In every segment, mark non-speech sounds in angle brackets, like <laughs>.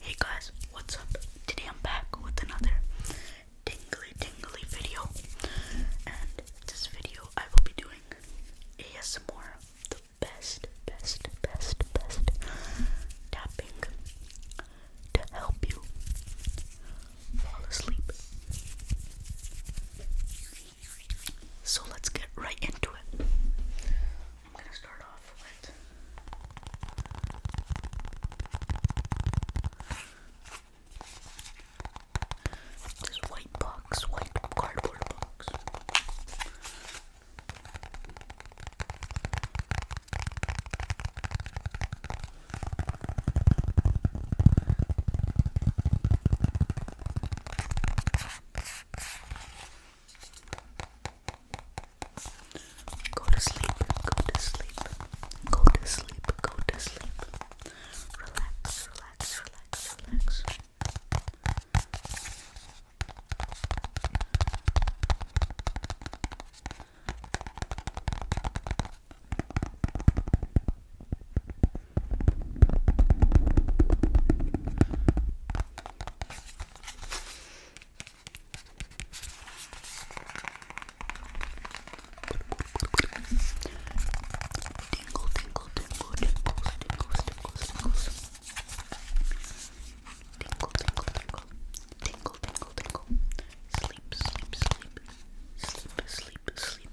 Hey guys, what's up? Today I'm back with another tingly tingly video. And this video I will be doing ASMR. The best, best, best, best tapping to help you fall asleep. So let's get right into it. I'm going to start off with this white box, white cardboard box. Go to sleep, go to sleep, go to sleep, go to sleep. Relax, relax, relax, relax. Good, Tingle, tingle, tingle, tingles, tingles, tingles, tingles. Tingle, tingle, tingle. Tingle, tingle, tingle. Sleep, sleep, sleep. Sleep, sleep, sleep.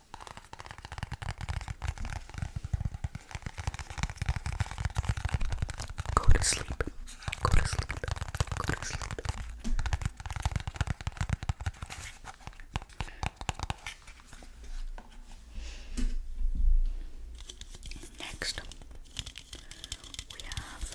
Go to sleep. Go to sleep. Go to sleep. Next, we have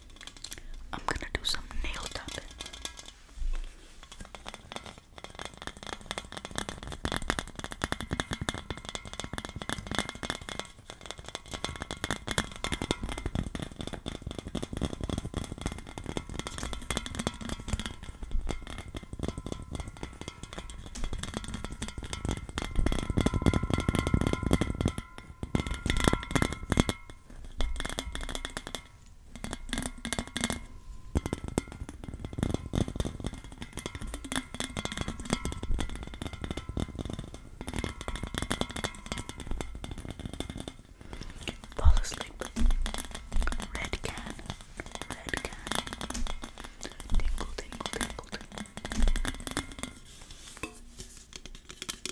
I'm gonna do some nail tapping. Fall asleep. Red can. Red can. Tingle, tingle, tingle, tingle. Okay,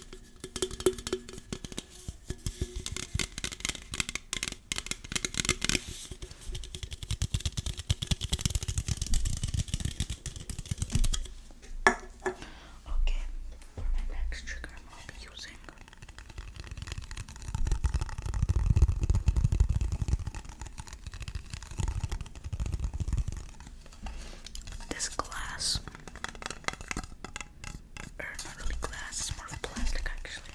for my next trigger, I'm be using this glass. Or not really glass, it's more of plastic actually.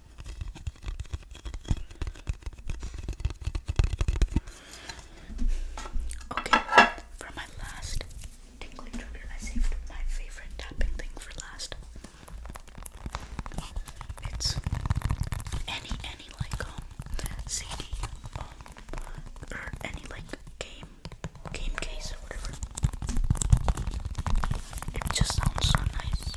Okay, for my last tingling trigger, I saved my favorite tapping thing for last. It's any any like um CD um or any like game game case or whatever. It just sounds so nice.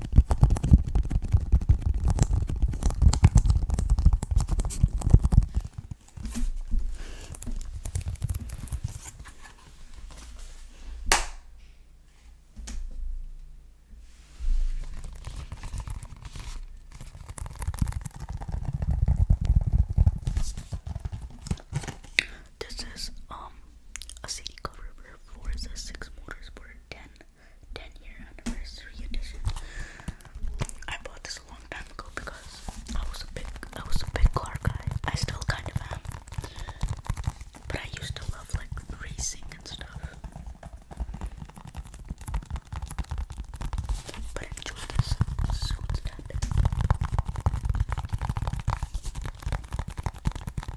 This is um a CD cover for the six motors ten 10 year anniversary edition. I bought this a long time ago because I was a big I was a big car guy. I still kind of am. But I used to love like racing and stuff. But enjoy this suit that.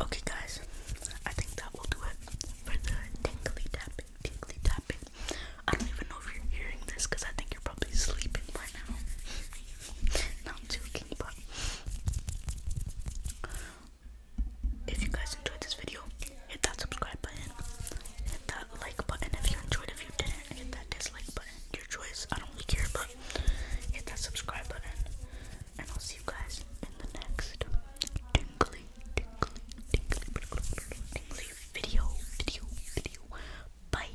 Okay, guys, I think that will do it for the tingly tapping, tingly tapping. I don't even know if you're hearing this because I think you're probably sleeping by now. <laughs> Not joking if you guys enjoyed this video hit that subscribe button hit that like button if you enjoyed if you didn't hit that dislike button your choice I don't really care but hit that subscribe button and I'll see you guys in the next tingly tingly tingly tingly video video video bye